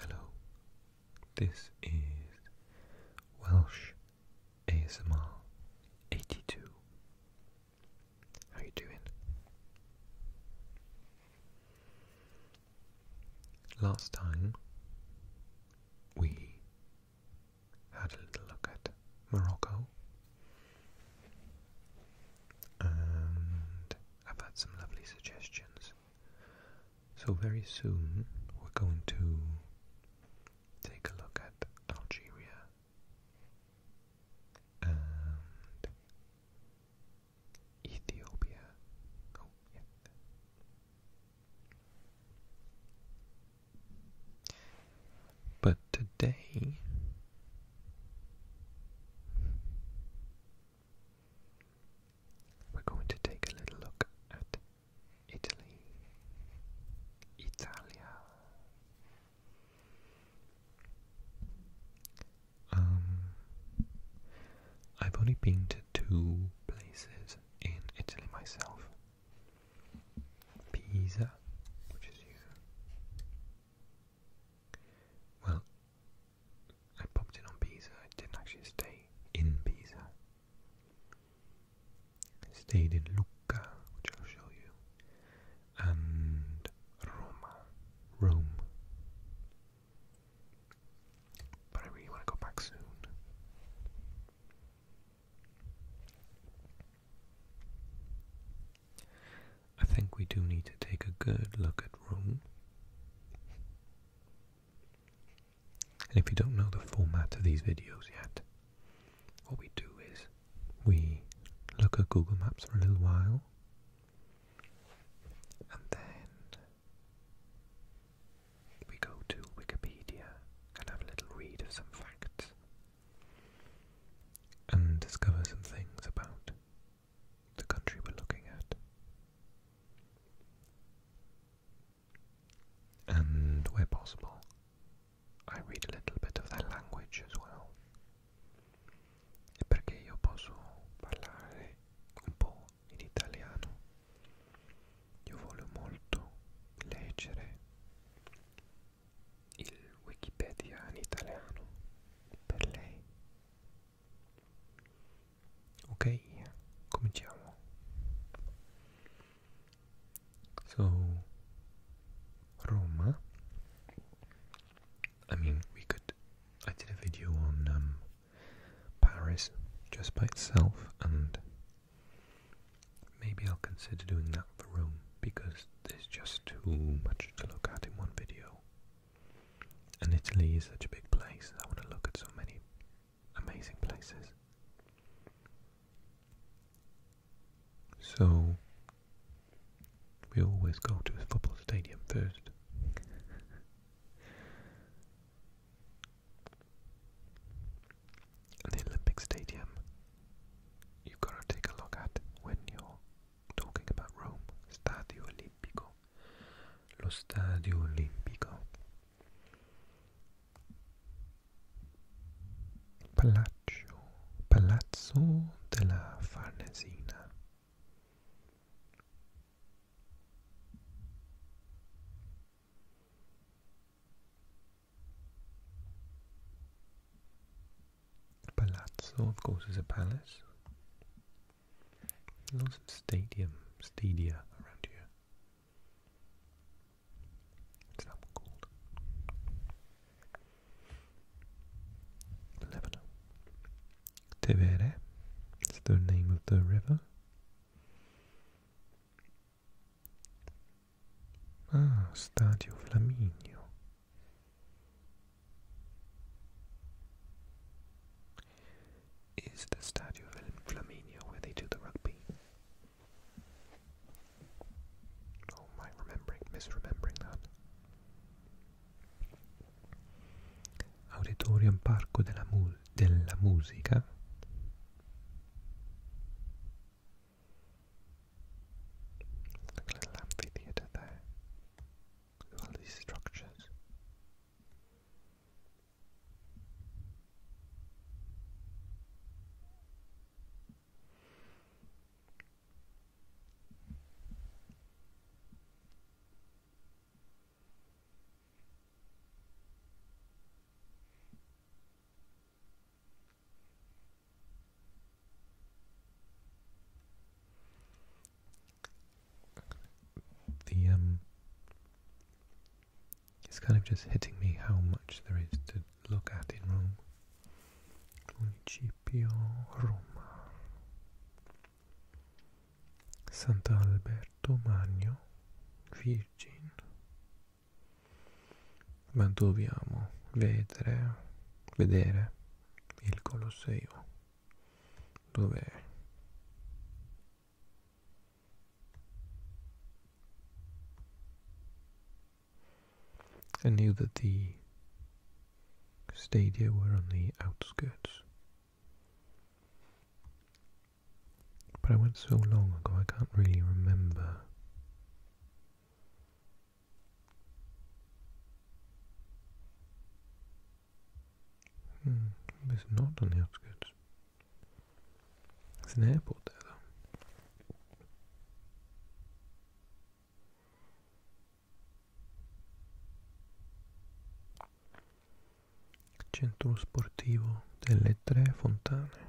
Hello, this is Welsh ASMR 82. How you doing? Last time we had a little look at Morocco and I've had some lovely suggestions. So, very soon we're going to take a look at Algeria and Ethiopia. Oh, but today, we're going to take a little look at Italy. Italia. Um, I've only been to two places in Italy myself. Pisa, which is here, well, I popped in on Pisa. I didn't actually stay in Pisa. I stayed in Lucca, which I'll show you, and Roma, Rome. But I really want to go back soon. I think we do need to take a good look at Rome. And if you don't know the format of these videos yet, what we do is we look at Google Maps for a little while and then we go to Wikipedia and have a little read of some facts and discover some things about the country we're looking at. And where possible, I read a little bit of their language as well. perché io posso parlare un po' in italiano. Io voglio molto leggere il Wikipedia in So, Roma. I mean, we could. I did a video on um, Paris just by itself, and maybe I'll consider doing that the room because there's just too much to look at in one video. And Italy is such a big place, I want to look at so many amazing places. So, we always go to a football stadium first. And the Olympic Stadium, you've got to take a look at when you're talking about Rome, stadio olimpico, lo stadio olimpico, palazzo, palazzo della Farnesina. Palazzo, of course, is a palace. Lots of stadium, stadia around here. It's that called? Lebanon. Tevere, it's the name of the river. Ah, Stadio Flaminio. Is the Stadio Flaminia where they do the rugby? Oh, am remembering, misremembering that? Auditorium Parko della Musica a little amphitheatre there. all these structures. The um, it's kind of just hitting me how much there is to look at in Rome. Municipio Roma. Sant'Alberto Magno, Virgin. Ma dobbiamo vedere, vedere I knew that the stadia were on the outskirts. But I went so long ago I can't really remember Hmm, it's not on the outskirts. There's an airport there though. Centro sportivo delle Tre Fontane.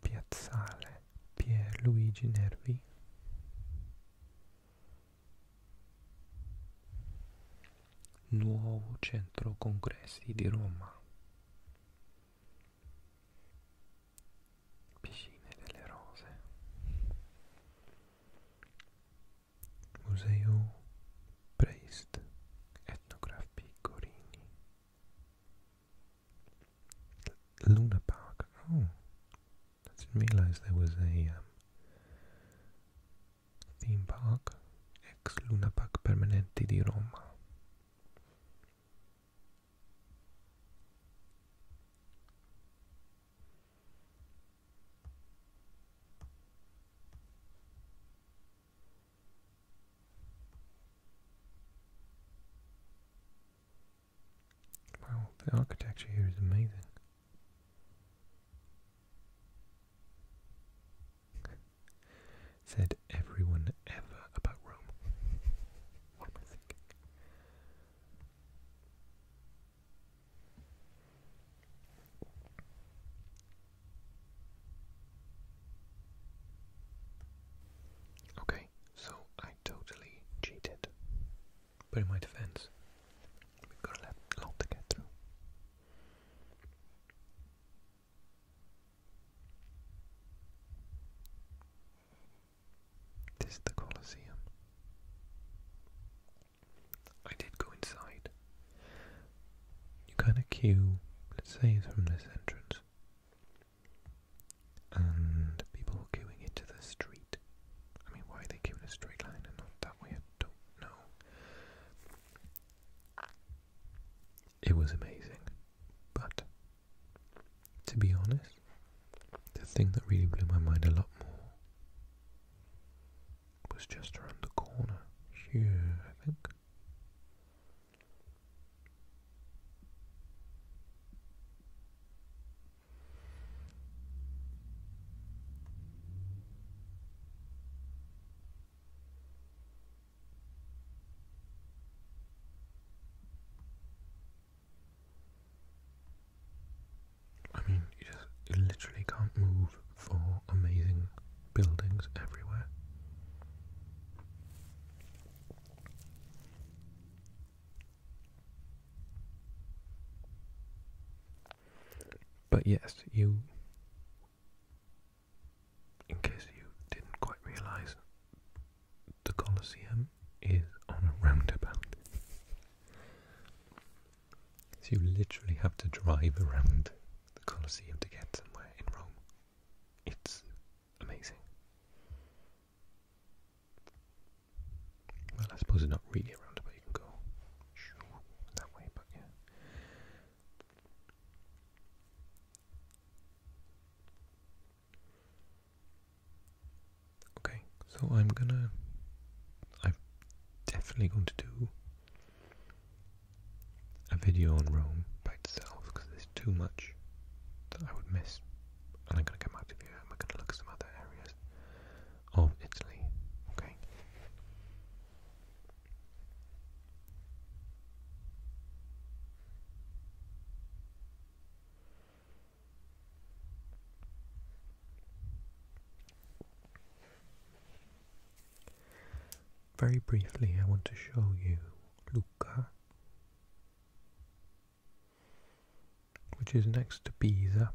Piazzale Pierluigi Nervi Nuovo Centro Congressi di Roma Piscine delle Rose Museo Preist Etnography Corini Luna Park. Oh, I didn't realize there was a um, theme park. Ex Luna Park Permanente di Roma. Wow, the architecture here is amazing. Said everyone ever about Rome. what am I thinking? Okay, so I totally cheated. But in my defense, we got a lot to get through. This is the Colosseum. I did go inside. You kind of queue, let's say, from this entrance and people queuing into the street. I mean, why they queue in a straight line and not that way, I don't know. It was amazing, but to be honest, the thing that really blew my mind a lot more was just around the corner here, I think. I mean, you just you literally can't move for amazing buildings everywhere. But yes, you, in case you didn't quite realize, the Colosseum is on a roundabout. so you literally have to drive around the Colosseum to get somewhere in Rome. It's amazing. Well, I suppose it's not really a roundabout, you can go that way, Okay, so I'm gonna. I'm definitely going to do a video on Rome by itself because there's too much that I would miss. And I'm going to come out to Europe and we're going to look at some other areas of Italy. Okay. Very briefly, I want to show you which is next to Pisa.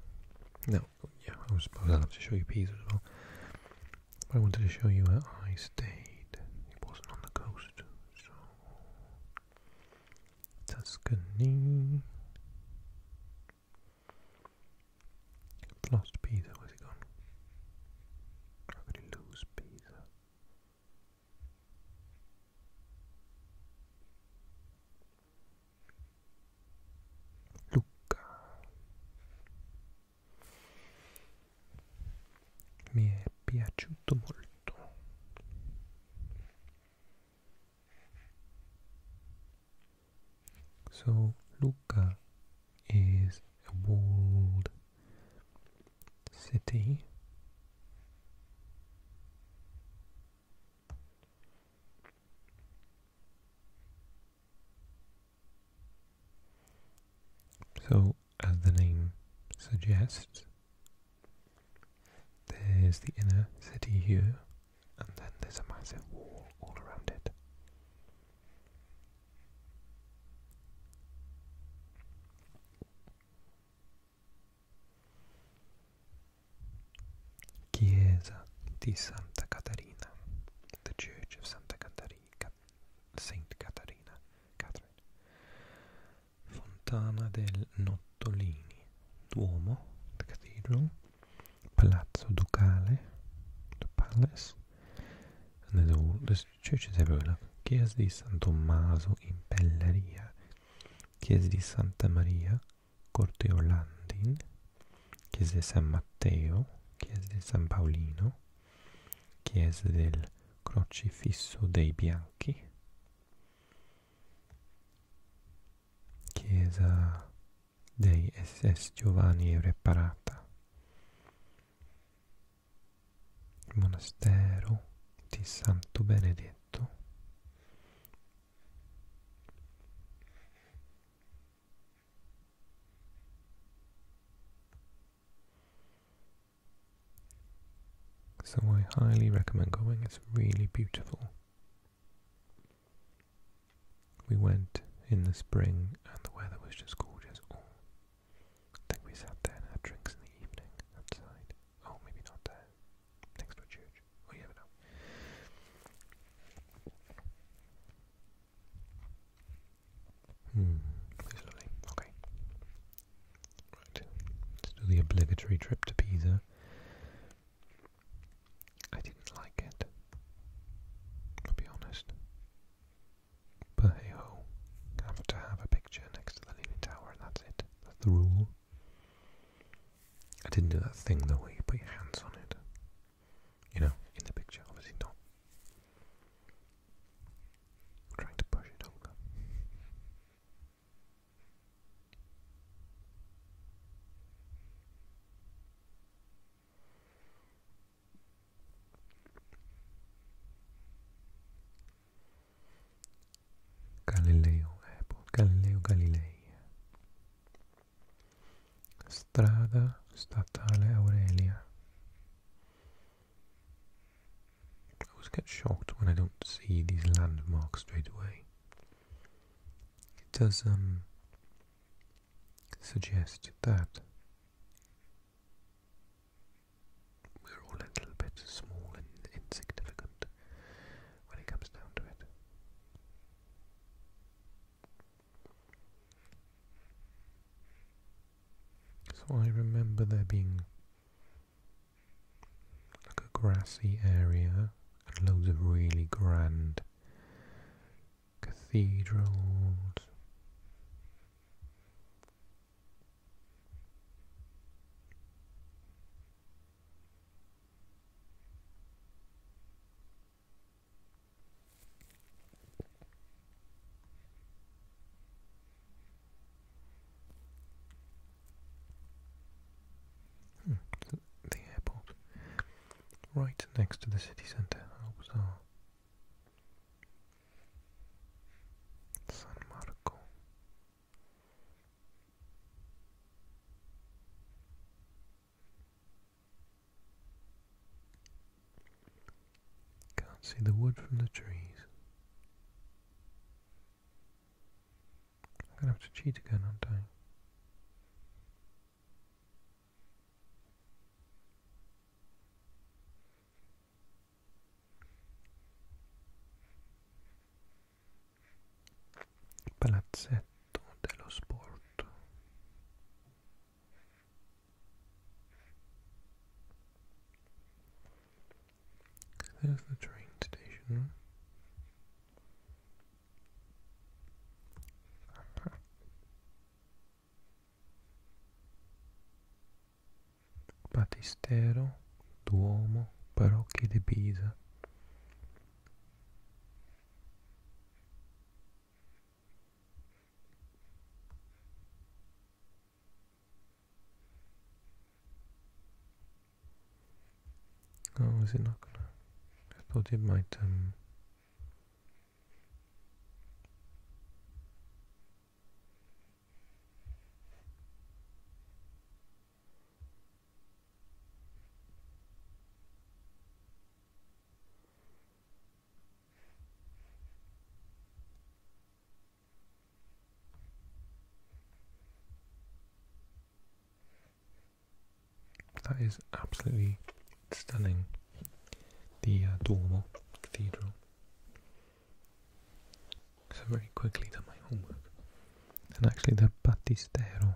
No, yeah, I was supposed I'll have to show you Pisa as well. I wanted to show you where I stayed. It wasn't on the coast, so Tuscany. lost Pisa, where's it gone? I really lose Pisa. Lucca mi è piaciuto molto so Lucca is a world city so as the name suggests there's the inner city here and then there's a massive wall all around it Chiesa di Santa Caterina, the Church of Santa Caterina, Saint Caterina, Catherine. Fontana del Nottolini, Duomo, the Cathedral, Palazzo Ducale, the Palace, and the oldest cioè serve la chiesa di San Tommaso in Pelleria, chiesa di Santa Maria, Corte Orlandin, chiesa di San Matteo, chiesa di San Paolino, chiesa del Crocifisso dei Bianchi, chiesa dei SS Giovanni Reparata il monastero di Santo Benedetto. So I highly recommend going, it's really beautiful. We went in the spring and the weather was just gorgeous I think we sat there and had drinks in the evening outside. Oh, maybe not there. Next to a church. never oh, know. Hmm, it's lovely. Okay. Right. Let's do the obligatory trip to Pisa. I didn't like it. I'll be honest. But I have to have a picture next to the leaning tower and that's it. That's the rule. I didn't do that thing the way you put your hands on it. You know, in the picture, obviously not. I'm trying to push it over. Galileo Airport, eh, Galileo Galilei. Strada Statale Aurelia. I always get shocked when I don't see these landmarks straight away. It does um, suggest that we're all a little bit small and insignificant when it comes down to it. So I remember there being like a grassy area and loads of really grand cathedrals Hmm, the airport. Right next to the city centre. How bizarre. San Marco. Can't see the wood from the trees. I'm gonna have to cheat again, aren't I? Palazzetto dello Sport There's the train station. Battistero, Duomo, Parrocchie di Pisa. Oh, is it not gonna? I thought it might, um, that is absolutely stunning. The uh, Dormer Cathedral. So very quickly done my homework. And actually the Battistero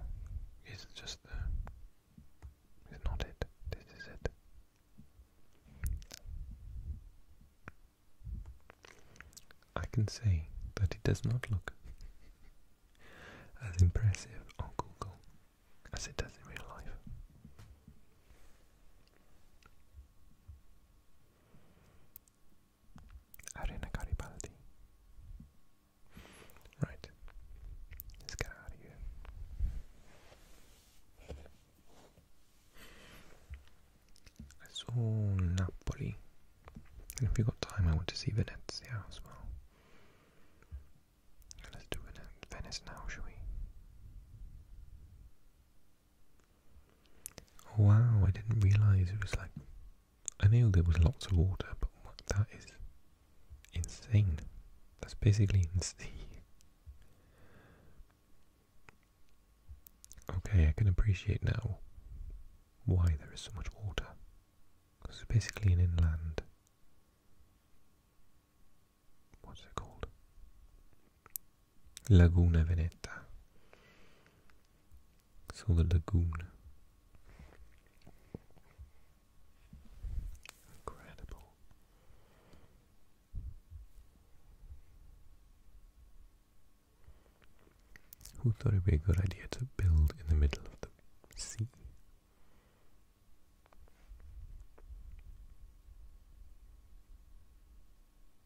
is just the, not it. This is it. I can see that it does not look as impressive on Google as it does in real life. Arena Garibaldi. Right, let's get out of here. I saw Napoli, and if we got time, I want to see Venezia as well. Let's do Venice now, shall we? Wow, I didn't realize it was like. I knew there was lots of water, but that is insane. That's basically insane. Okay, I can appreciate now why there is so much water. Because it's basically an inland. What's it called? Laguna Veneta. So the lagoon. Incredible. Who thought it would be a good idea to build in the middle of the sea?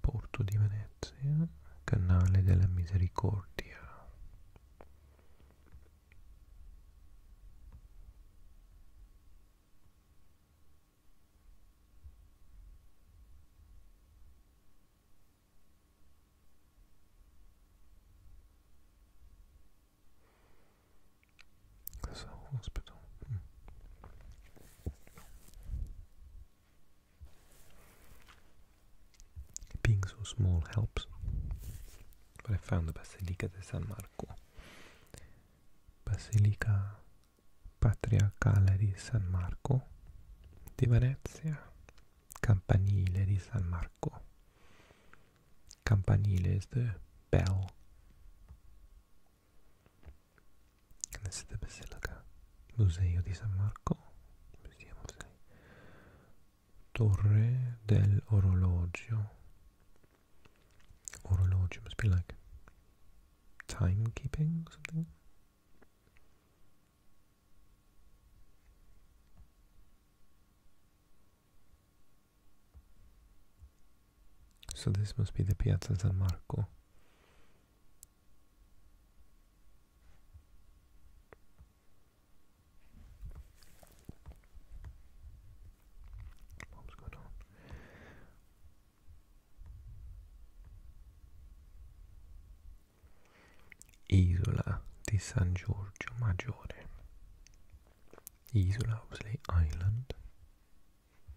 Porto di Venezia, Canale della Misericordia. Cosa ospito? Mm. Being so small helps. But I found the Basilica di San Marco. Basilica Patriarcale di San Marco di Venezia. Campanile di San Marco. Campanile is the bell. And this is the Basilica Museo di San Marco, Museum of San Torre del Orologio. Orologio must be like timekeeping or something. So this must be the Piazza San Marco. Bomb's going on. Isola di San Giorgio Maggiore. Isola Osley Island.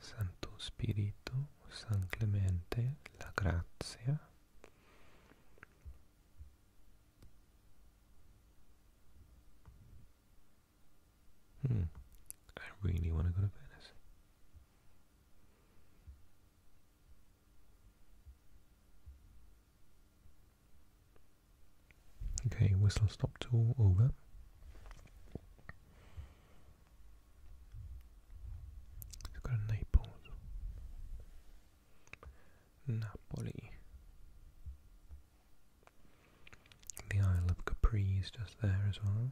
Santo Spirito, San Clemente, la grazia. Hmm. I really want to go to Venice. Okay, whistle stop tour over. we got Naples. Napoli. The Isle of Capri is just there as well.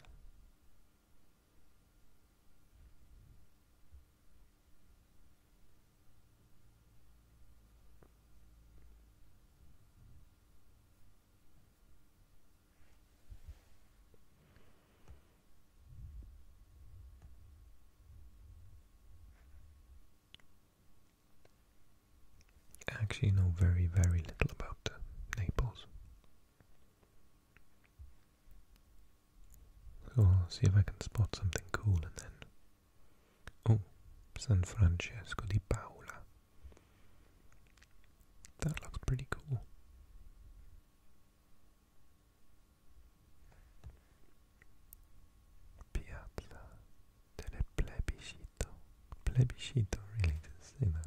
I actually know very, very little about Naples. So I'll see if I can spot something cool and then Oh, San Francesco di Paola. That looks pretty cool. Piazza del Plebiscito. Plebiscito, really, to say that.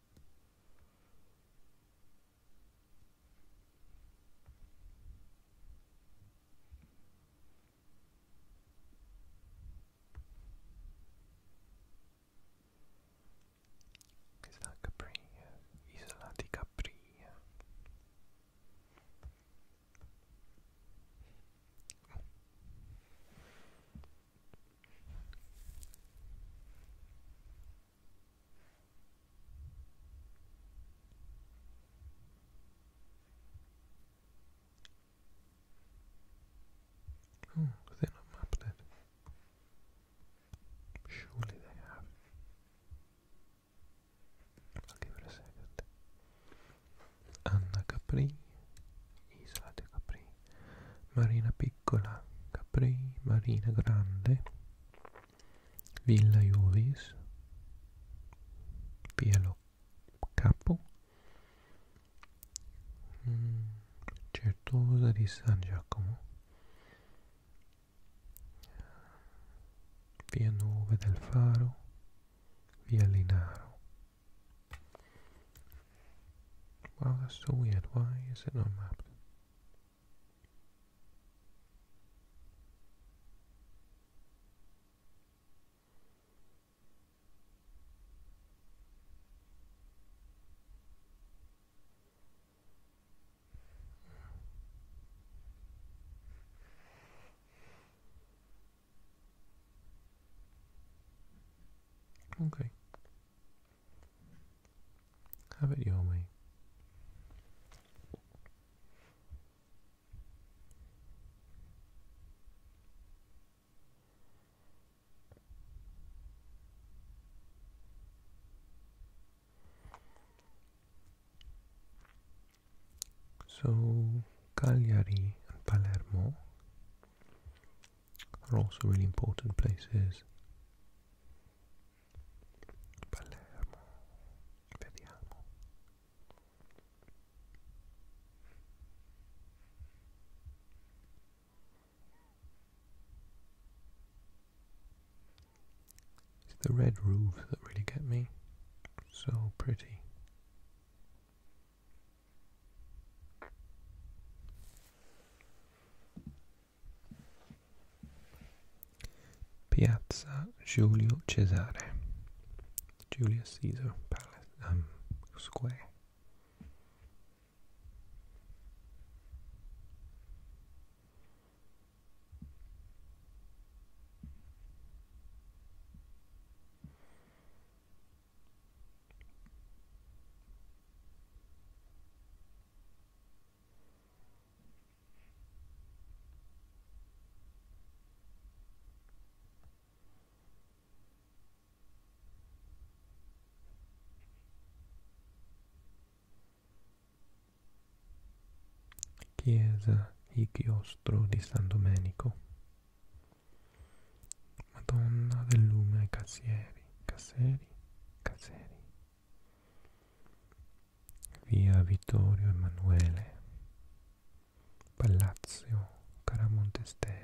Isola Capri, Isola di Capri. Oh, they not mapped it. Surely they have. I'll give it a second. Anna Capri, Isla de Capri, Marina Pic. piccola, Capri, Marina Grande, Villa Iovis, Pielo Capo, Certosa mm, di San Giacomo, Via 9 del Faro, Via Linaro, Wow, that's so weird. Why is it not mapped? Okay. Have it your way. So, Cagliari and Palermo they are also really important places. Palermo, vediamo. It's the red roofs that really get me. So pretty. Piazza Giulio Cesare, Julius Caesar Palace, um, Square. Chiesa Ichiostro di San Domenico Madonna del Lume Cassieri Casseri Caseri, via Vittorio Emanuele, Palazzo Caramontesteri.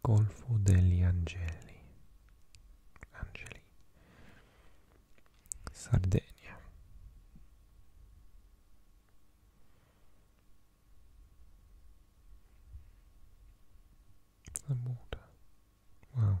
Golfo degli Angeli, Angeli, Sardegna. The water. Wow.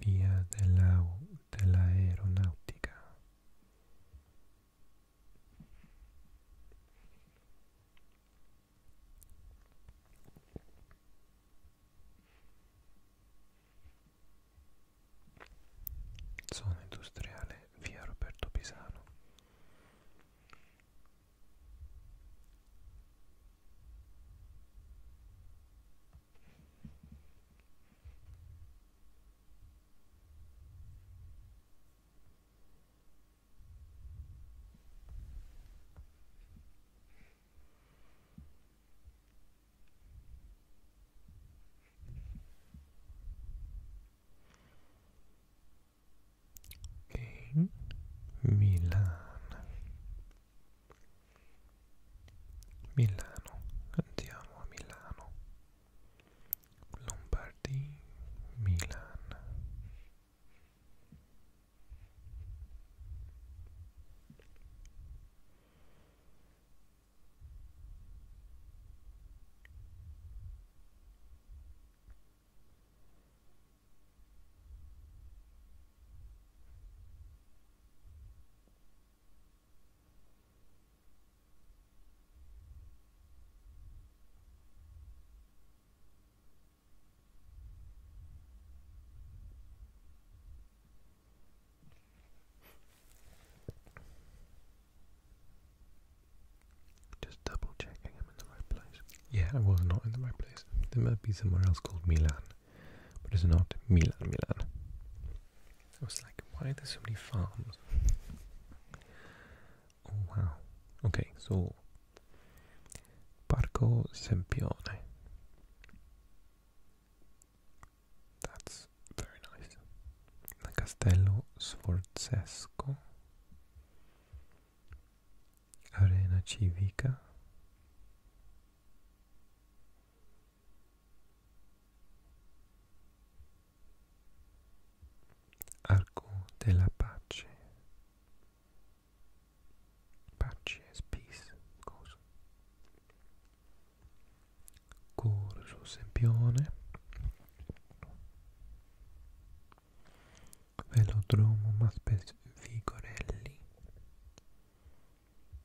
via della, dell'aeronautica. Zona industriale via Roberto Pisano. King Milan Milano, andiamo a Milano. Lombardi, Milan. Just double checking I'm in the right place. Yeah, I was not in the right place. There might be somewhere else called Milan but it's not Milan, Milan. I was like, why are there so many farms? Oh wow. Okay, so Parco Sempione. That's very nice. Castello Sforzesco. Arena Civica. Arco della pace. Pace is peace. Cosa? Corso Sempione. Velodromo Maspes Vigorelli.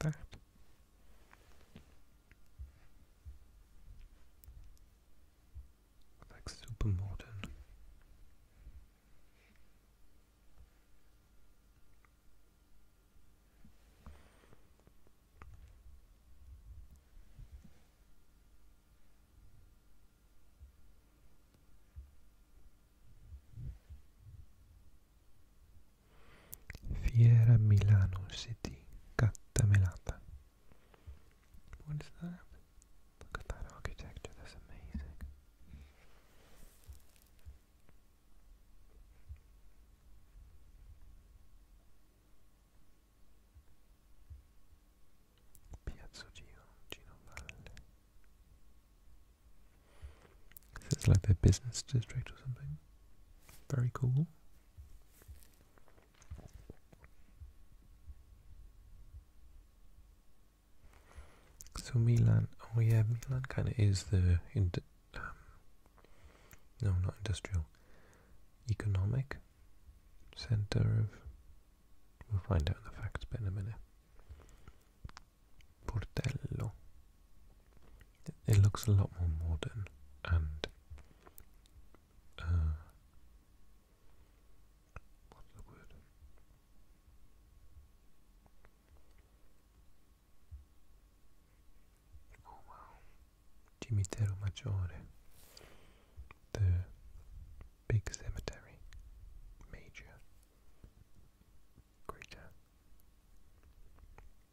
that. Like super modern. Fiera Milano City Cattamelata. What is that? Look at that architecture, that's amazing. Piazza Gino, Gino Valle. It's like a business district or something. Very cool. So Milan, oh yeah, Milan kind of is the ind um, no, not industrial, economic center of. We'll find out the facts bit in a minute. Portello. It looks a lot more modern and uh, what's the word? Oh wow, Cimitero Maggiore, the big cemetery, major, greater.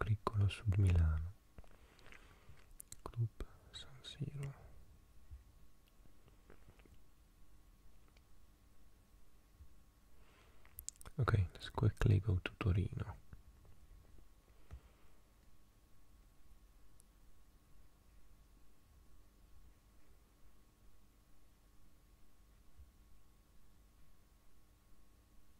Agricolo Sud Milano, Club San Siro. Okay, let's quickly go to Torino.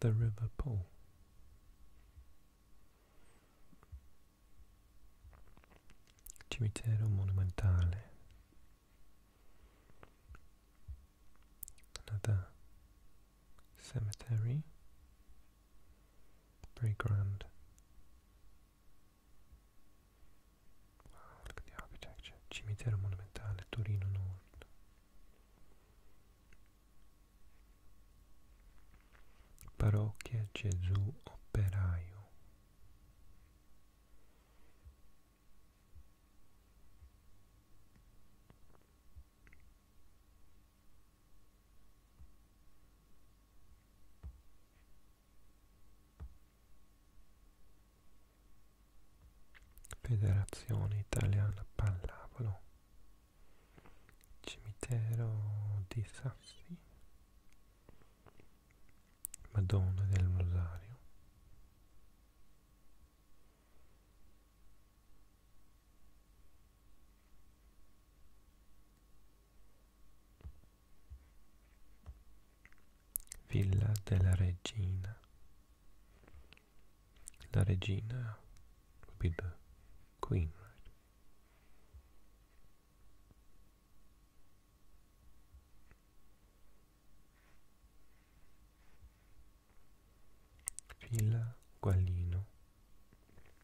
the River Pole? Cimitero Monumentale. Another cemetery. Very grand. Wow, look at the architecture. Cimitero monumentale, Torino Nord. Parrocchia Gesù Operaio. Federazione Italiana Pallavolo, Cimitero di Sassi, Madonna del Rosario, Villa della Regina. La regina would be the queen, right? Villa Guallino.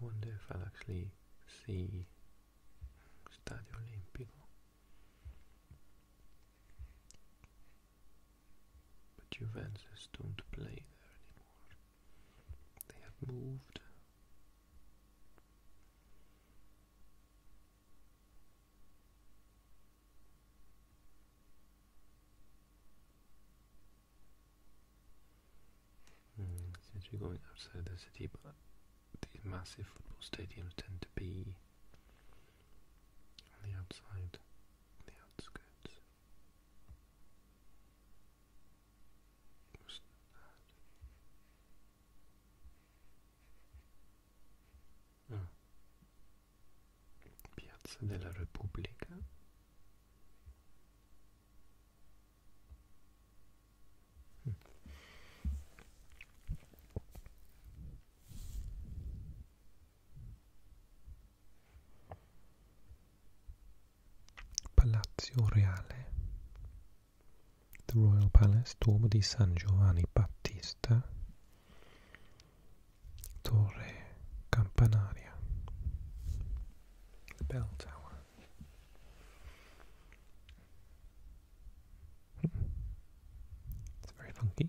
I wonder if I'll actually see Stadio Olimpico. But Juventus don't play there anymore. They have moved since we're going outside the city, but these massive football stadiums tend to be on the outside, on the outskirts. Oh. Piazza della Repubblica. Palazzo Reale, The Royal Palace, Duomo di San Giovanni Battista, Torre Campanaria, The Bell Tower. It's very funky.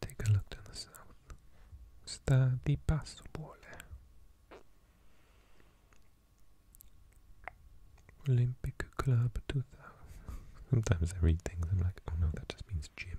Take a look to the south. Sta di Passobuole. Olympic Club 2000. Sometimes I read things, I'm like, oh no, that just means gym.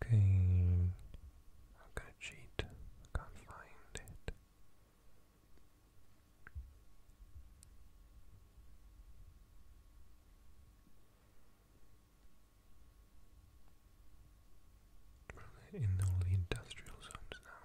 Okay, I'm gonna cheat. I can't find it. We're in the industrial zones now.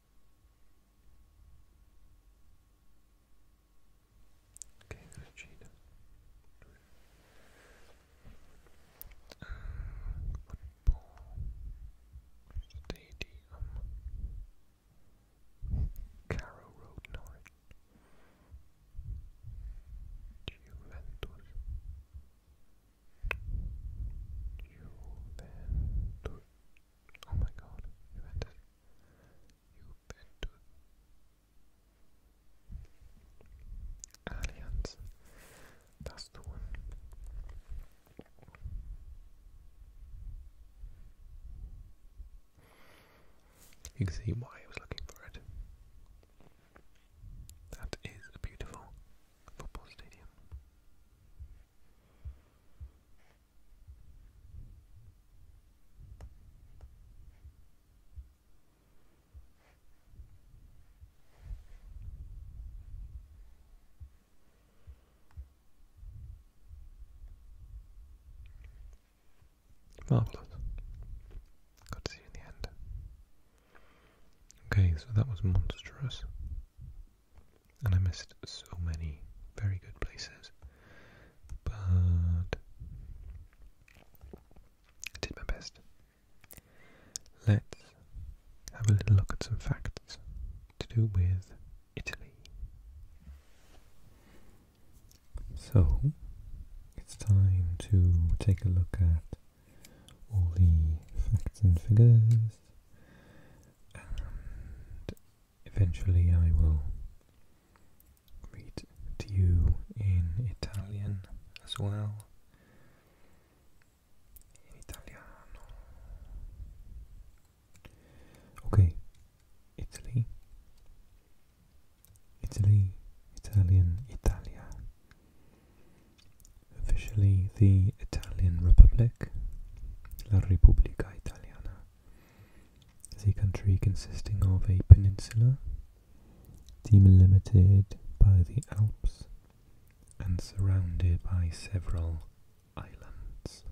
Okay, there's football. Uh, Stadium. Carrow Road, Norwich. Juventus. Juventus. Oh my god, you entered. You entered. Allianz, das tun. You can see why I was looking for it. That is beautiful football stadium. Marvelous. Got to see in the end. Okay, so that was monstrous and I missed so many very good places, but I did my best. Let's have a little look at some facts to do with Italy. So, it's time to take a look at all the facts and figures and eventually I will read to you in Italian as well. Italiano. Okay, Italy. Italy, Italian, Italia. Officially the Italian Republic La Repubblica Italiana is a country consisting of a peninsula delimited by the Alps and surrounded by several islands.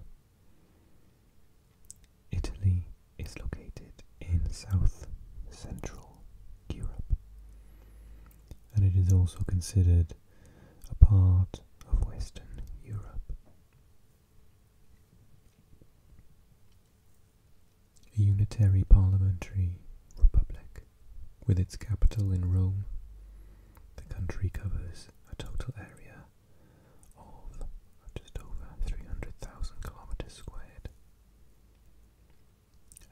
Italy is located in south central Europe and it is also considered a part of Western Europe. A unitary parliamentary republic with its capital in Rome, the country covers a total area of just over 300,000 kilometers squared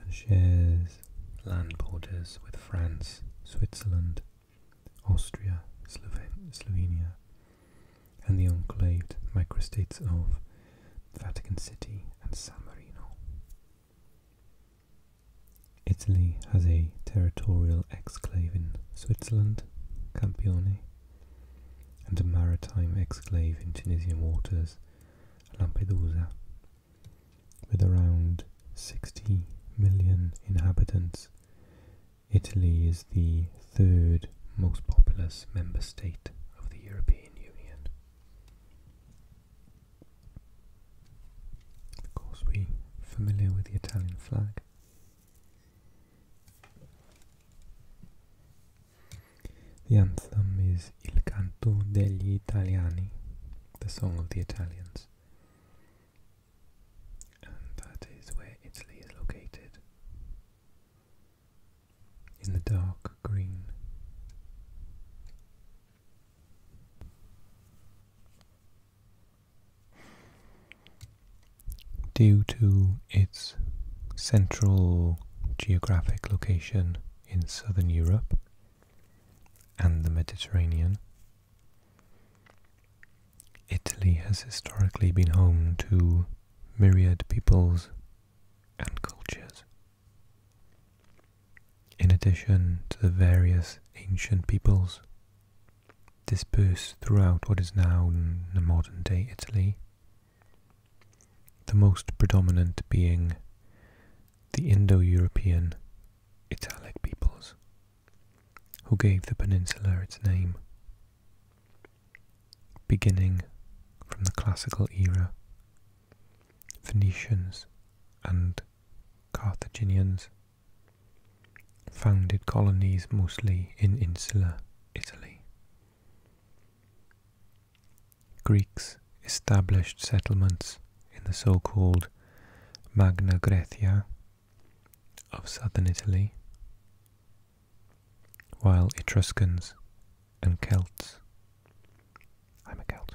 and shares land borders with France, Switzerland, Austria, Slovenia, and the enclaved microstates of Vatican City and San Marino. Italy has a territorial exclave in Switzerland, Campione, and a maritime exclave in Tunisian waters, Lampedusa, with around 60 million inhabitants Italy is the third most populous member state of the European Union. Of course, we're familiar with the Italian flag. The anthem is Il canto degli italiani, the song of the Italians and that is where Italy is located. In the dark green. Due to its central geographic location in southern Europe and the Mediterranean, Italy has historically been home to myriad peoples and cultures. In addition to the various ancient peoples dispersed throughout what is now modern day Italy, the most predominant being the Indo European Italic peoples who gave the peninsula its name. Beginning from the classical era, Phoenicians and Carthaginians founded colonies mostly in insular Italy. Greeks established settlements in the so-called Magna Graecia of southern Italy, while Etruscans and Celts, I'm a Celt,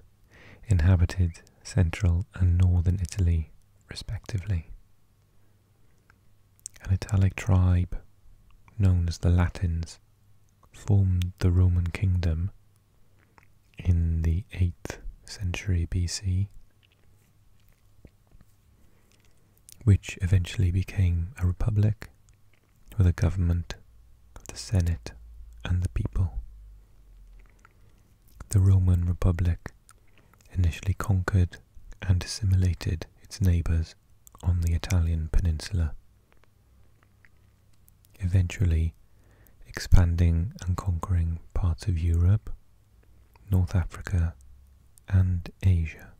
inhabited central and northern Italy respectively. An Italic tribe known as the Latins formed the Roman kingdom in the 8th century BC which eventually became a republic with a government of the Senate and the people. The Roman Republic initially conquered and assimilated its neighbours on the Italian peninsula, eventually expanding and conquering parts of Europe North Africa, and Asia.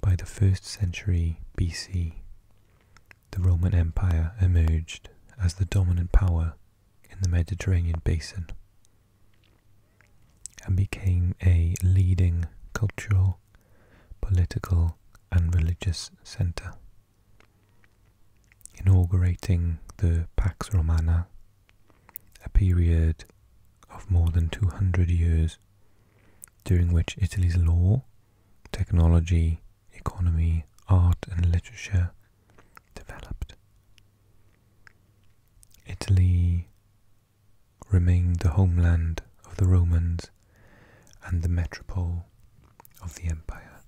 By the 1st century BC, the Roman Empire emerged as the dominant power in the Mediterranean basin and became a leading cultural, political, and religious centre inaugurating the Pax Romana, a period of more than 200 years during which Italy's law, technology, economy, art, and literature developed. Italy remained the homeland of the Romans and the metropole of the empire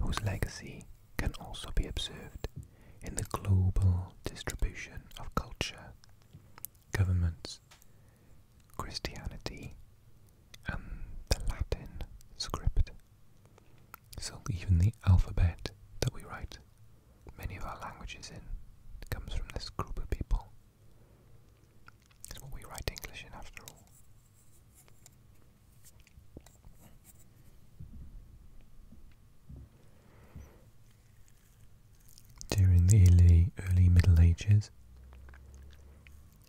whose legacy can also be observed in the global distribution of culture, governments, Christianity, and the Latin script. So, even the alphabet that we write many of our languages in comes from this group of people. It's what we write English in, after all. During the early, Middle Ages,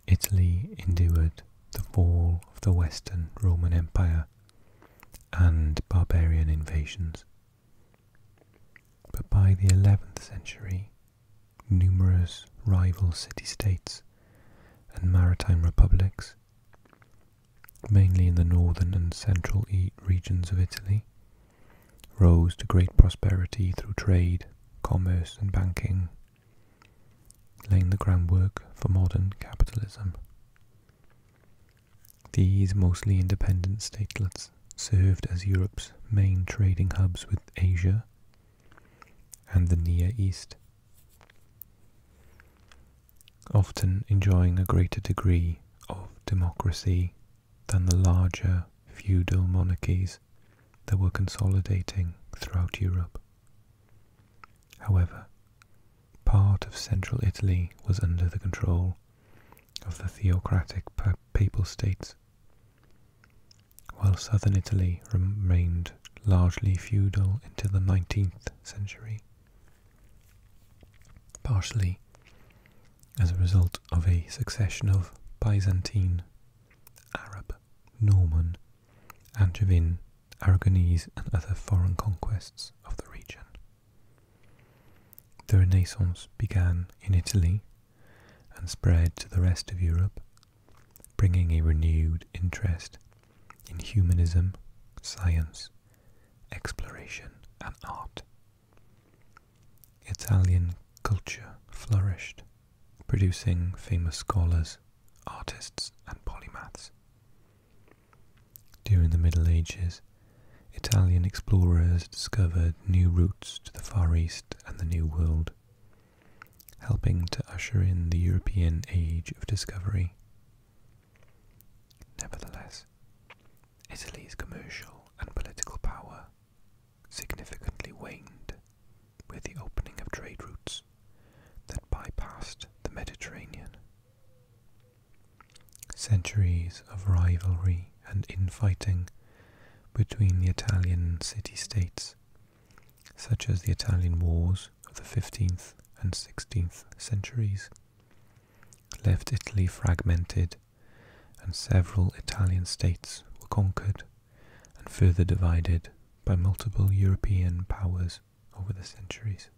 Italy endured the fall of the Western Roman Empire and barbarian invasions. But by the 11th century, numerous rival city states and maritime republics mainly in the northern and central regions of Italy, rose to great prosperity through trade, commerce, and banking, laying the groundwork for modern capitalism. These mostly independent statelets served as Europe's main trading hubs with Asia and the Near East often enjoying a greater degree of democracy than the larger feudal monarchies that were consolidating throughout Europe. However, part of central Italy was under the control of the theocratic papal states, while southern Italy remained largely feudal until the 19th century partially as a result of a succession of Byzantine, Arab, Norman, Angevin, Aragonese, and other foreign conquests of the region. The Renaissance began in Italy and spread to the rest of Europe, bringing a renewed interest in humanism, science, exploration, and art. Italian culture flourished, producing famous scholars, artists, and polymaths. During the Middle Ages, Italian explorers discovered new routes to the Far East and the New World, helping to usher in the European Age of Discovery. Nevertheless, Italy's commercial and political power significantly waned with the opening of trade routes that bypassed the Mediterranean. Centuries of rivalry and infighting between the Italian city states, such as the Italian Wars of the 15th and 16th centuries left Italy fragmented, and several Italian states were conquered and further divided by multiple European powers over the centuries.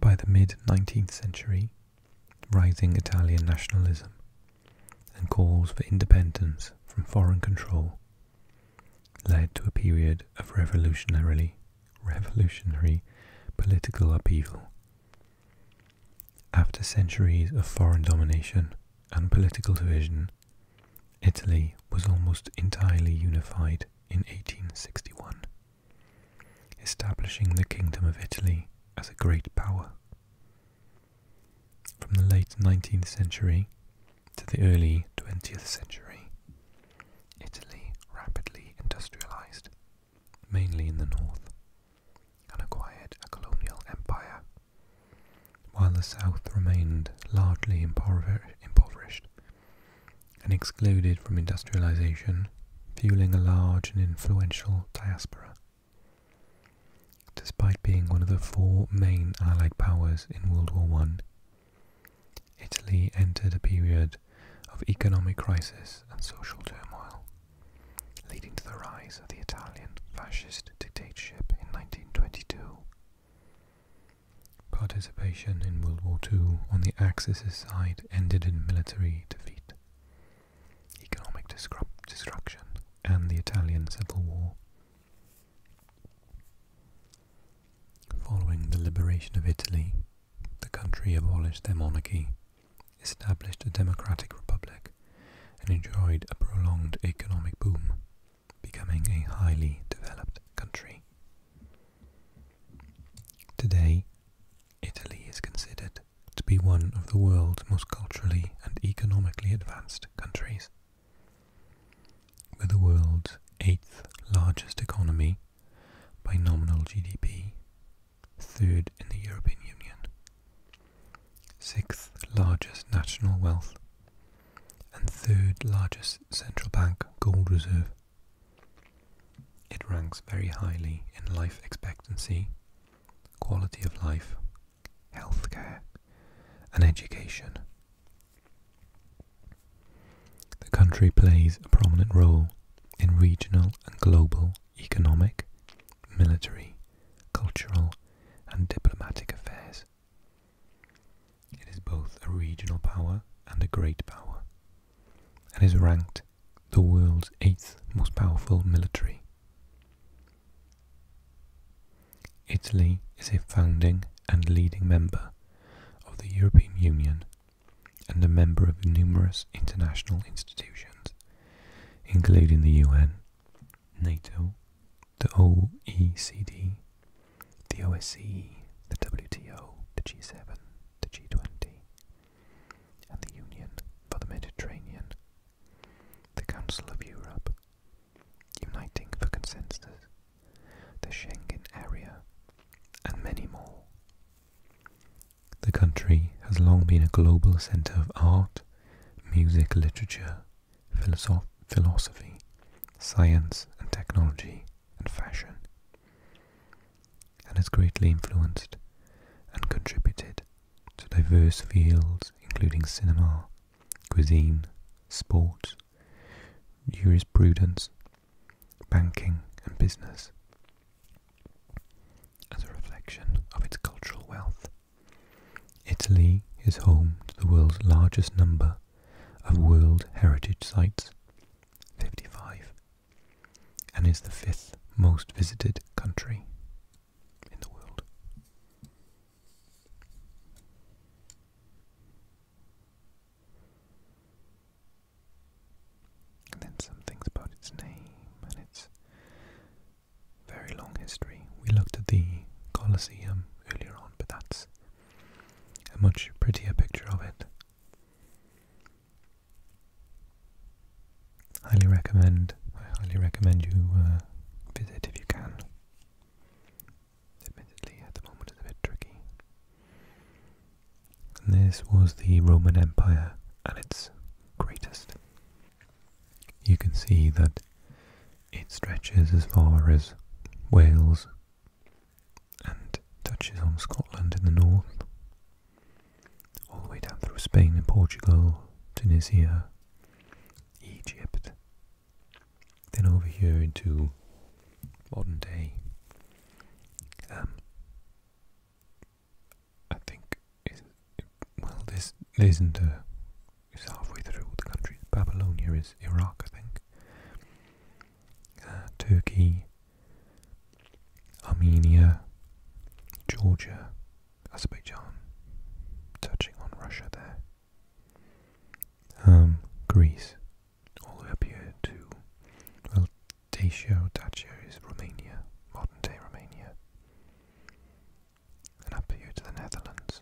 By the mid 19th century, rising Italian nationalism and calls for independence from foreign control led to a period of revolutionary, revolutionary political upheaval. After centuries of foreign domination and political division, Italy was almost entirely unified in 1861, establishing the Kingdom of Italy as a great power from the late 19th century to the early 20th century. Italy rapidly industrialized, mainly in the north, and acquired a colonial empire, while the south remained largely impoverished and excluded from industrialization, fueling a large and influential diaspora. Despite being one of the four main Allied powers in World War I, Italy entered a period of economic crisis and social turmoil, leading to the rise of the Italian fascist dictatorship in 1922. Participation in World War II on the Axis' side ended in military defeat, economic destruction, and the Italian Civil War. Following the liberation of Italy, the country abolished their monarchy, established a democratic republic, and enjoyed a prolonged economic boom, becoming a highly developed country. Today, Italy is considered to be one of the world's most culturally and economically advanced countries. With the world's eighth largest economy by nominal GDP, third in the European Union, sixth largest national wealth, and third largest central bank gold reserve. It ranks very highly in life expectancy, quality of life, healthcare, and education. The country plays a prominent role in regional and global economic, military, cultural, and diplomatic affairs. It is both a regional power and a great power, and is ranked the world's eighth most powerful military. Italy is a founding and leading member of the European Union and a member of numerous international institutions, including the UN, NATO, the OECD, the OSCE, the WTO, the G7, the G20, and the Union for the Mediterranean the Council of Europe, Uniting for Consensus, the Schengen Area, and many more. The country has long been a global centre of art, music, literature, philosophy, science and technology, and fashion, and has greatly influenced and contributed to diverse fields including cinema, cuisine, sport, jurisprudence, banking, and business as a reflection of its cultural wealth. Italy is home to the world's largest number of World Heritage Sites, 55, and is the fifth most visited country in the world. And then some things about its name and its very long history. We looked at the Colosseum earlier on, but that's a much prettier picture of it. Highly recommend. I highly recommend you uh, visit if you can. Admittedly, at the moment, it's a bit tricky. this was the Roman Empire at its greatest. You can see that it stretches as far as Wales and touches on Scotland in the north, all the way down through Spain and Portugal, Tunisia, Egypt, then over here into modern day, um, I think, well, this isn't a, it's halfway through the countries. Babylonia is Iraq, I think. Uh, Turkey, Armenia, Georgia, Azerbaijan, touching on Russia there. Um, Greece, all the way up here to, well, Dacia, Dacia is Romania, modern day Romania, and up here to the Netherlands.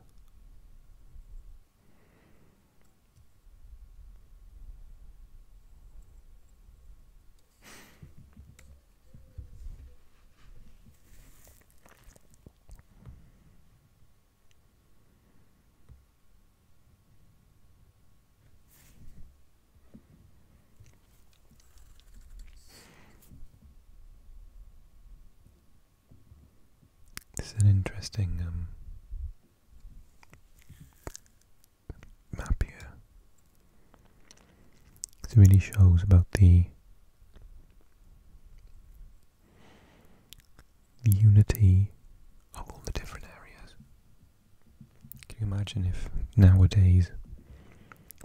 This is an interesting um, map here. It really shows about the unity of all the different areas. Can you imagine if nowadays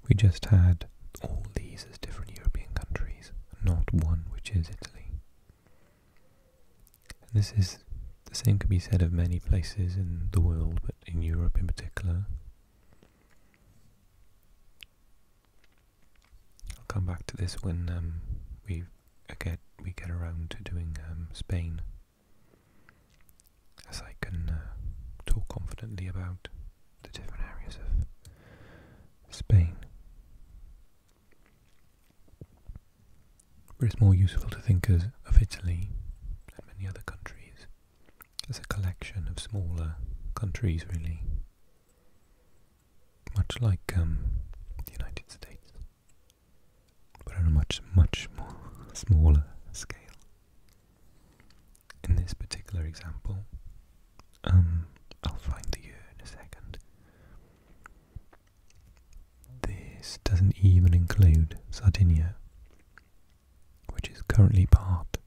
we just had all these as different European countries, not one, which is Italy? this is the same can be said of many places in the world, but in Europe in particular. I'll come back to this when um, we get we get around to doing um, Spain, as I can uh, talk confidently about the different areas of Spain. But it's more useful to think of Italy and many other countries as a collection of smaller countries, really much like um, the United States, but on a much, much more smaller scale. In this particular example, um, I'll find the year in a second. This doesn't even include Sardinia, which is currently part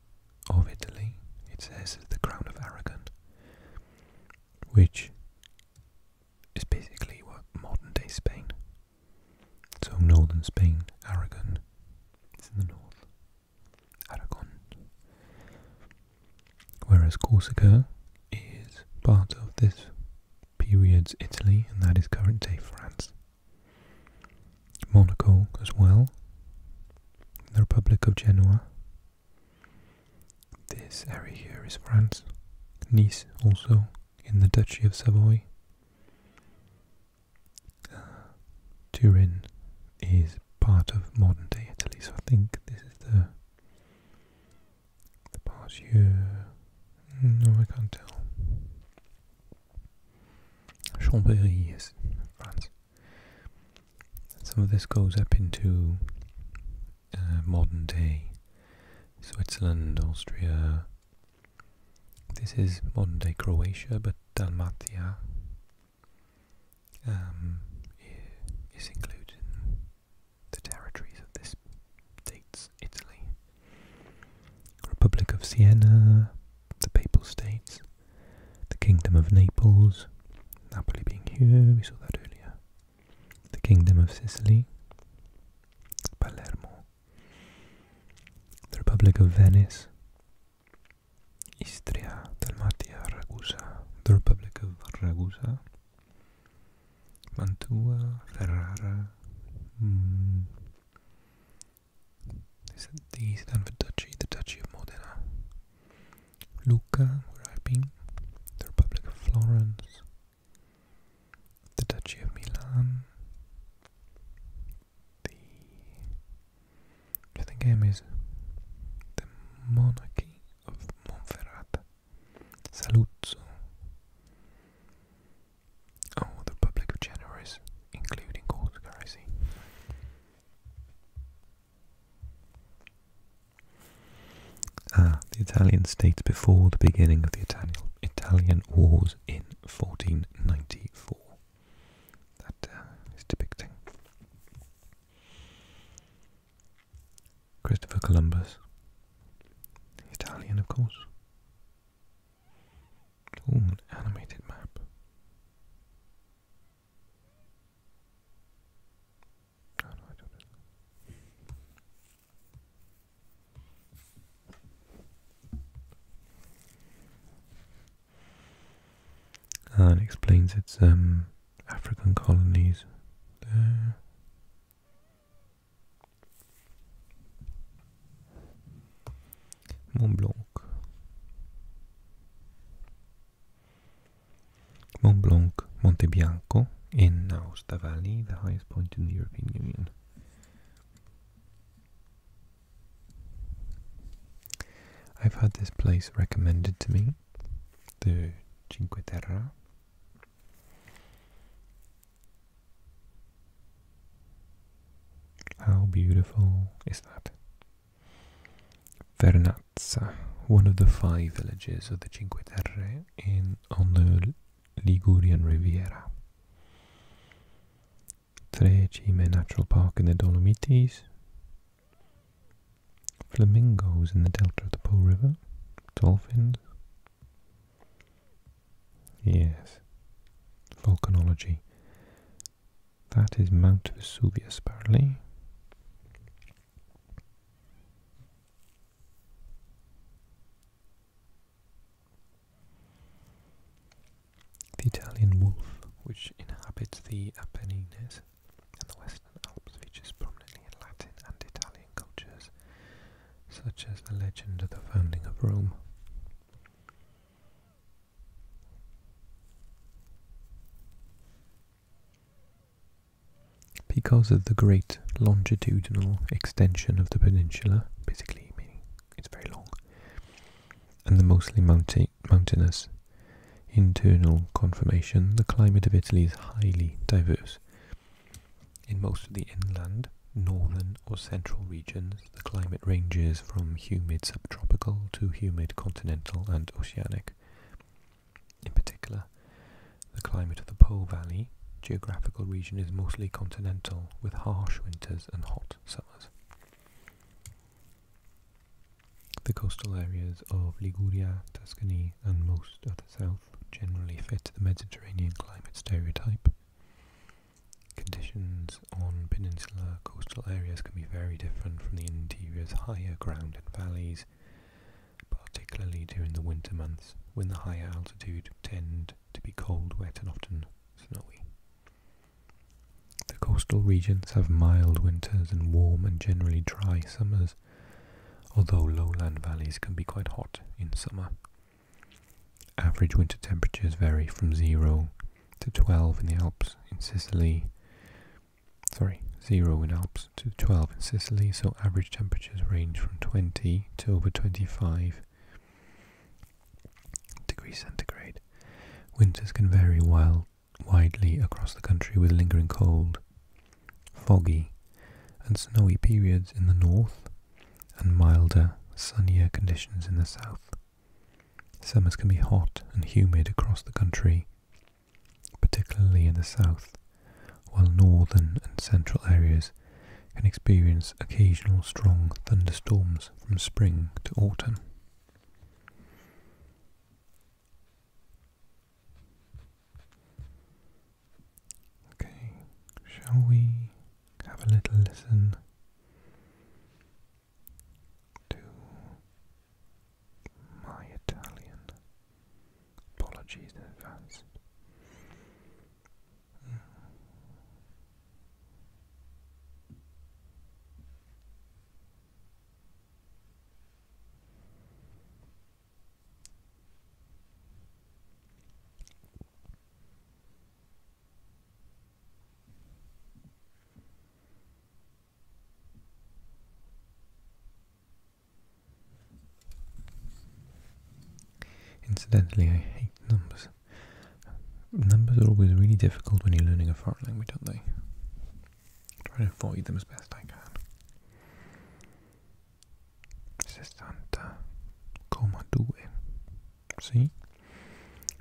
of Italy. It says the Crown of Aragon which is basically what modern day Spain. So northern Spain, Aragon, it's in the north. Aragon. Whereas Corsica is part of this period's Italy, and that is current day France. Monaco as well, the Republic of Genoa, this area here is France, Nice also in the Duchy of Savoy. Uh, Turin is part of modern day Italy, so I think this is the the part here. Mm, no, I can't tell. Chambéry is France. Some of this goes up into uh, modern day Switzerland, Austria. This is modern day Croatia, but Dalmatia um, is included in the territories of this states, Italy, Republic of Siena, the Papal States, the Kingdom of Naples, Napoli being here, we saw that earlier. The Kingdom of Sicily, Palermo, the Republic of Venice, Istria, Dalmatia, Ragusa, the Republic of Ragusa, Mantua, Ferrara, mm. Is it the stand for duchy? The Duchy of Modena. Lucca, where I've been, the Republic of Florence, the Duchy of Milan. The I think name is the Monarchy of Monferrata, Saluzzo. Oh, the Republic of Genoa including Corsica, Ah, the Italian states before the beginning of the Italian Italian Wars in 1494. That uh, depicting Christopher Columbus, Italian, of course. Oh, an animated map. And ah, explains its um, African colonies there. Mont Blanc. Mont Blanc, Monte Bianco in Aosta Valley, the highest point in the European Union. I've had this place recommended to me, the Cinque Terre. How beautiful is that? Verna Piazza, uh, one of the five villages of the Cinque Terre in on the Ligurian Riviera. Tre Trecime Natural Park in the Dolomites, flamingos in the delta of the Po River, dolphins. Yes, volcanology. That is Mount Vesuvius, apparently. The Italian wolf, which inhabits the Apennines and the Western Alps, features prominently in Latin and Italian cultures, such as the legend of the founding of Rome. Because of the great longitudinal extension of the peninsula, basically meaning it's very long, and the mostly mountainous internal conformation, the climate of Italy is highly diverse. In most of the inland, northern or central regions, the climate ranges from humid subtropical to humid continental and oceanic. In particular, the climate of the Po Valley geographical region is mostly continental, with harsh winters and hot summers. The coastal areas of Liguria, Tuscany, and most of the south generally fit the Mediterranean climate stereotype. Conditions on peninsular coastal areas can be very different from the interior's higher ground and valleys, particularly during the winter months when the higher altitudes tend to be cold, wet and often snowy. The coastal regions have mild winters and warm and generally dry summers, although lowland valleys can be quite hot in summer. Average winter temperatures vary from 0 to 12 in the Alps in Sicily, sorry, 0 in Alps to 12 in Sicily, so average temperatures range from 20 to over 25 degrees centigrade. Winters can vary wild, widely across the country with lingering cold, foggy and snowy periods in the north and milder, sunnier conditions in the south. Summers can be hot and humid across the country particularly in the south, while northern and central areas can experience occasional strong thunderstorms from spring to autumn. Okay, shall we have a little listen to my Italian. Apologies in advance. Incidentally, I hate numbers. Numbers are always really difficult when you're learning a foreign language, aren't they? try to avoid them as best I can. Sessanta, comma due. Sì?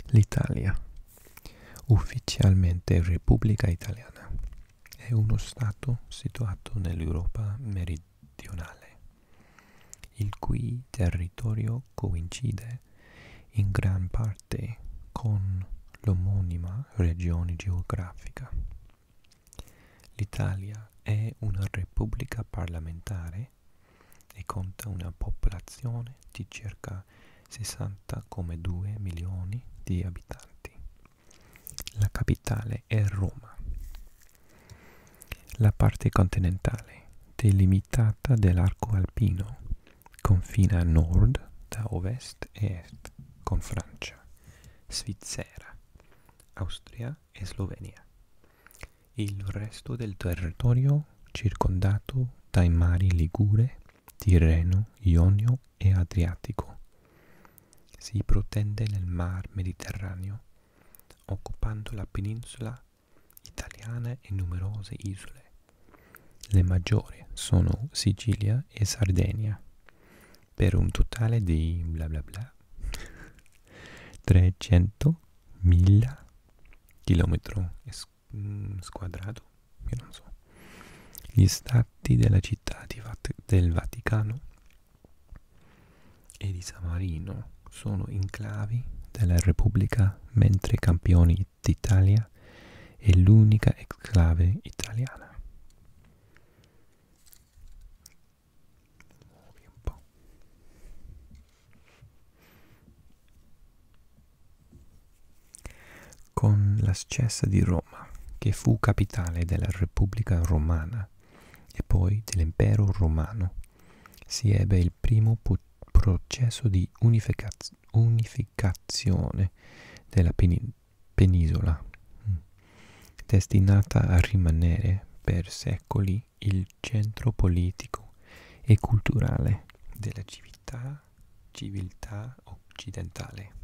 L'Italia. Ufficialmente Repubblica Italiana. è uno stato situato nell'Europa meridionale, il cui territorio coincide in gran parte con l'omonima regione geografica. L'Italia è una repubblica parlamentare e conta una popolazione di circa 60,2 milioni di abitanti. La capitale è Roma. La parte continentale, delimitata dall'arco alpino, confina a nord da ovest e est con Francia, Svizzera, Austria e Slovenia. Il resto del territorio circondato dai mari Ligure, Tirreno, Ionio Egeo e Adriatico. Si protende nel Mar Mediterraneo, occupando la penisola italiana e numerose isole. Le maggiori sono Sicilia e Sardegna, per un totale di bla bla bla 300.000 km mm, squadrato, io non so. Gli stati prelati della città Vat del Vaticano e di Samarino sono enclavi della Repubblica, mentre Campioni d'Italia è l'unica enclave italiana. Muovi un po'. Con la scessa di Roma Roma, che fu capitale della Repubblica Romana e poi dell'impero romano, si ebbe il primo processo di unificaz unificazione della penin penisola, mm, destinata a rimanere per secoli il centro politico e culturale della civiltà, civiltà occidentale.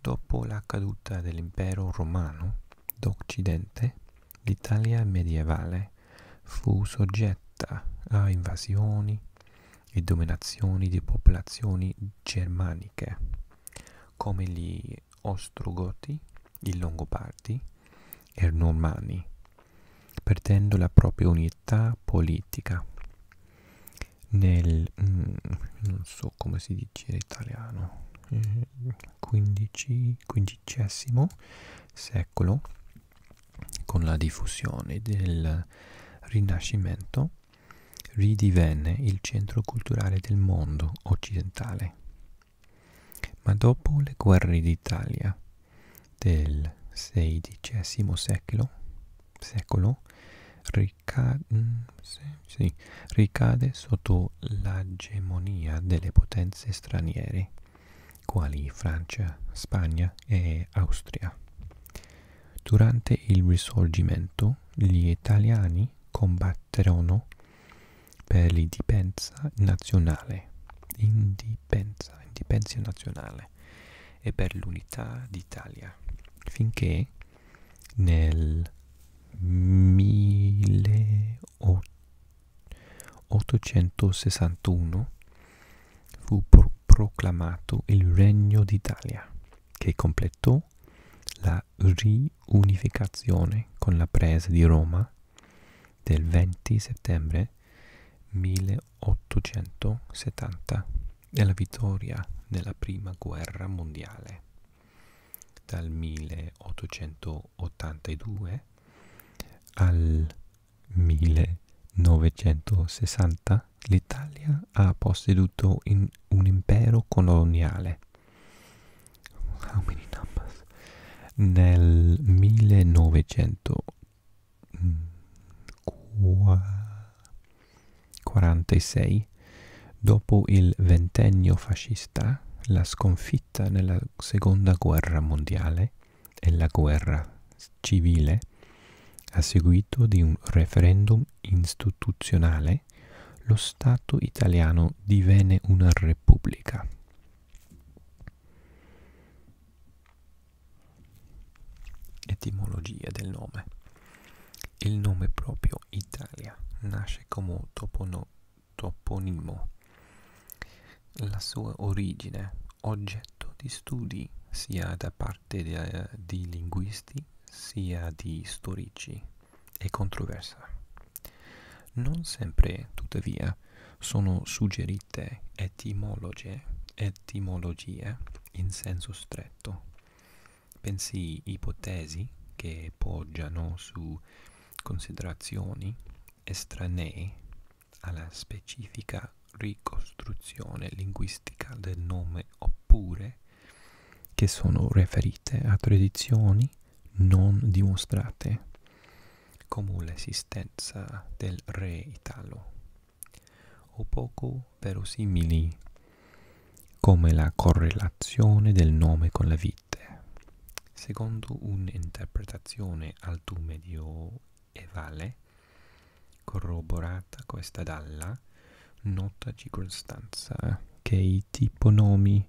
Dopo la caduta dell'impero romano d'Occidente, l'Italia medievale fu soggetta a invasioni e dominazioni di popolazioni germaniche, come gli Ostrogoti, i Longobardi e i Normanni, perdendo la propria unità politica nel mm, non so come si dice in italiano XV eh, secolo con la diffusione del Rinascimento ridivenne il centro culturale del mondo occidentale. Ma dopo le guerre d'Italia del XVI secolo, secolo ricade, mm, sì, sì, ricade sotto l'egemonia delle potenze straniere, quali Francia, Spagna e Austria. Durante il Risorgimento gli italiani combatterono per l'indipendenza nazionale, indipendenza, indipendenza nazionale e per l'unità d'Italia, finché nel 1861 fu pro- proclamato il Regno d'Italia, che completò la riunificazione con la presa di Roma del 20 settembre 1870 e la vittoria nella Prima Guerra Mondiale dal 1882 al 1960 l'Italia ha posseduto un impero coloniale. How many numbers? Nel 1900 mm, qua, 46. Dopo il ventennio fascista, la sconfitta nella seconda guerra mondiale e la guerra civile, a seguito di un referendum istituzionale, lo Stato italiano divenne una repubblica. Etimologia del nome. Il nome proprio Italia nasce come topono, toponimo. La sua origine, oggetto di studi sia da parte di, di linguisti sia di storici, è controversa. Non sempre, tuttavia, sono suggerite etimologie, etimologie in senso stretto pensi ipotesi che poggiano su considerazioni estranee alla specifica ricostruzione linguistica del nome oppure che sono riferite a tradizioni non dimostrate come l'esistenza del re italo o poco verosimili, come la correlazione del nome con la vite. Secondo un'interpretazione alto medioevale, corroborata questa dalla nota circostanza che i tiponomi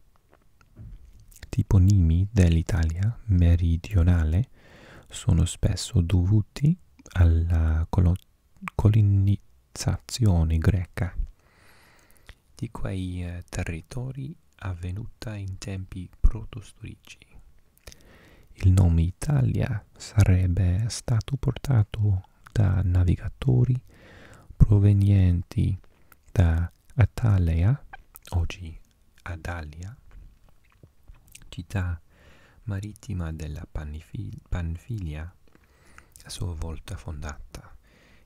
tiponimi dell'Italia meridionale sono spesso dovuti alla colonizzazione colonizzazione greca di quei eh, territori avvenuta in tempi protostorici. Il nome Italia sarebbe stato portato da navigatori provenienti da Atalea, oggi Adalia, città marittima della Panfilia a sua volta fondata,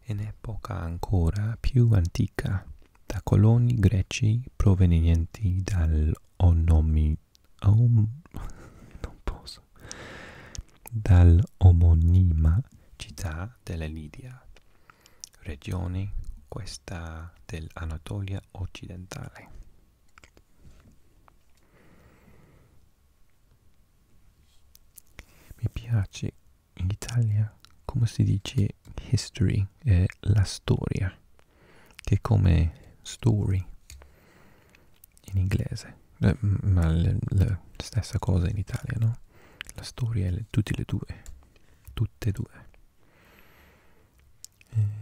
in epoca ancora più antica, da coloni greci provenienti dall'onomi... Om, non posso, dall'omonima città della Lidia, regione questa dell'Anatolia occidentale. Mi piace in Italia come si dice history, eh, la storia, che è come story in inglese, eh, ma la, la stessa cosa in Italia, no? La storia è tutte le due, tutte e due. Eh,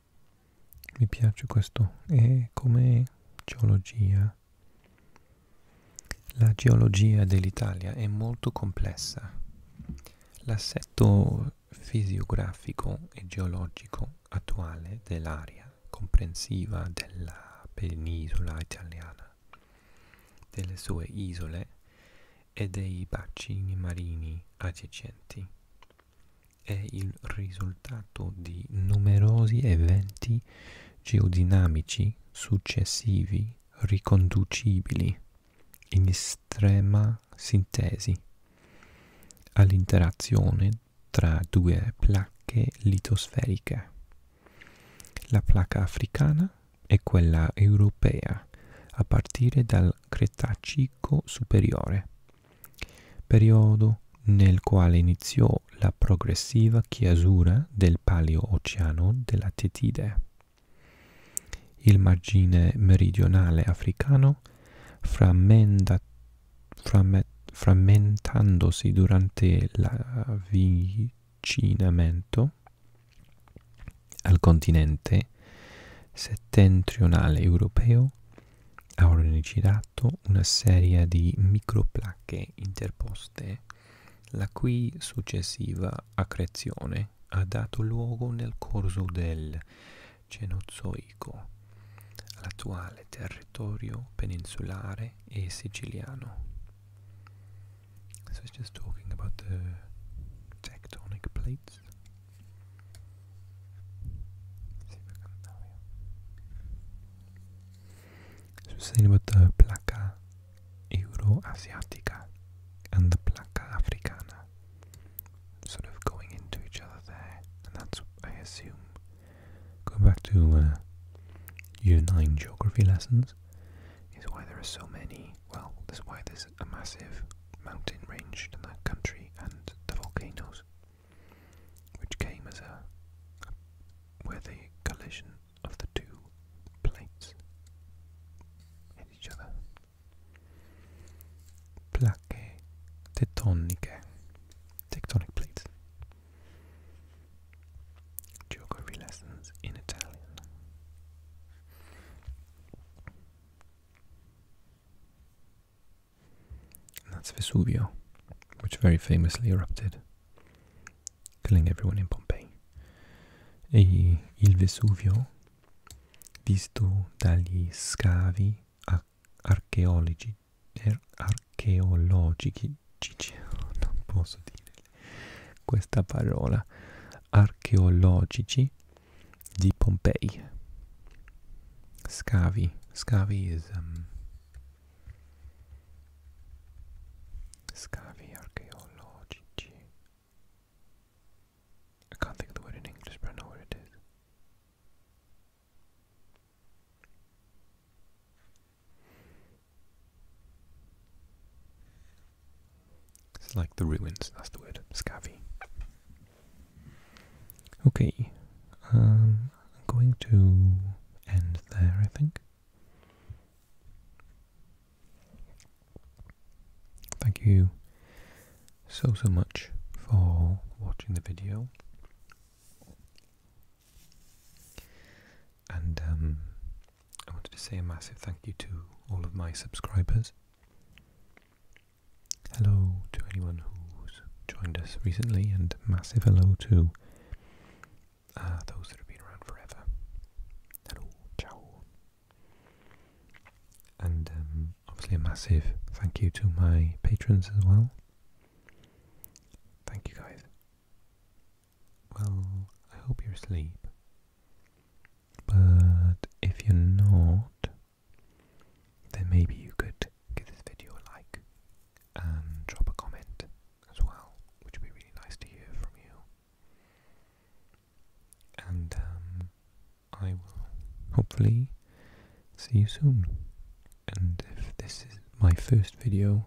mi piace questo e come geologia la geologia dell'Italia è molto complessa l'assetto fisiografico e geologico attuale dell'area comprensiva della penisola italiana delle sue isole e dei bacini marini adiacenti è il risultato di numerosi eventi geodinamici successivi riconducibili in estrema sintesi all'interazione tra due placche litosferiche, la placca africana e quella europea a partire dal Cretacico superiore periodo nel quale iniziò la progressiva chiusura del Paleo-Oceano della Tetide. Il margine meridionale africano, frammenta, framme, frammentandosi durante l'avvicinamento al continente settentrionale europeo, ha organizzato una serie di microplacche interposte la cui successiva accrezione ha dato luogo nel corso del Cenozoico all'attuale territorio peninsulare e siciliano. So it's just talking about the tectonic plates. Let's see So we're saying about the placa Euroasiatica and the placa africana sort of going into each other there, and that's I assume going back to uh, year nine geography lessons is why there are so many. Well, that's why there's a massive mountain range in that country and the volcanoes which came as a where the collision of the two plates hit each other. Plaque tectoniche, tectonic plates. Geography lessons in Italian. And that's Vesuvio, which very famously erupted, killing everyone in Pompeii. E il Vesuvio, visto dagli scavi ar archeologici, er archeologici, non posso dire questa parola, archeologici di Pompeii. Scavi. Scavi is um, Scavi archaeologici. I can't think of the word in English, but I know what it is. It's like the ruins, that's the word, scavi. Okay, um, I'm going to end there, I think. Thank you so, so much for watching the video. And um, I wanted to say a massive thank you to all of my subscribers. Hello to anyone who's joined us recently, and massive hello to uh, those that have been around forever. Hello, ciao. And um, obviously, a massive thank you to my patrons as well. Thank you, guys. Well, I hope you're asleep. But if you're not, then maybe you could give this video a like and drop a comment as well, which would be really nice to hear from you. And um, I will hopefully see you soon. And if this is my first video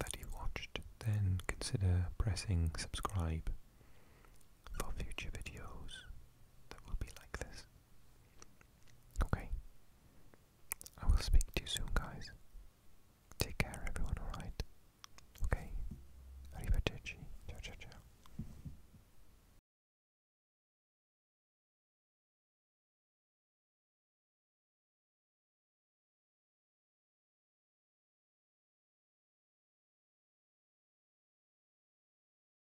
that you watched, then consider pressing subscribe for future videos that will be like this. Okay. I will speak to you soon, guys. Take care, everyone, alright? Okay. Arrivederci. Ciao, ciao, ciao.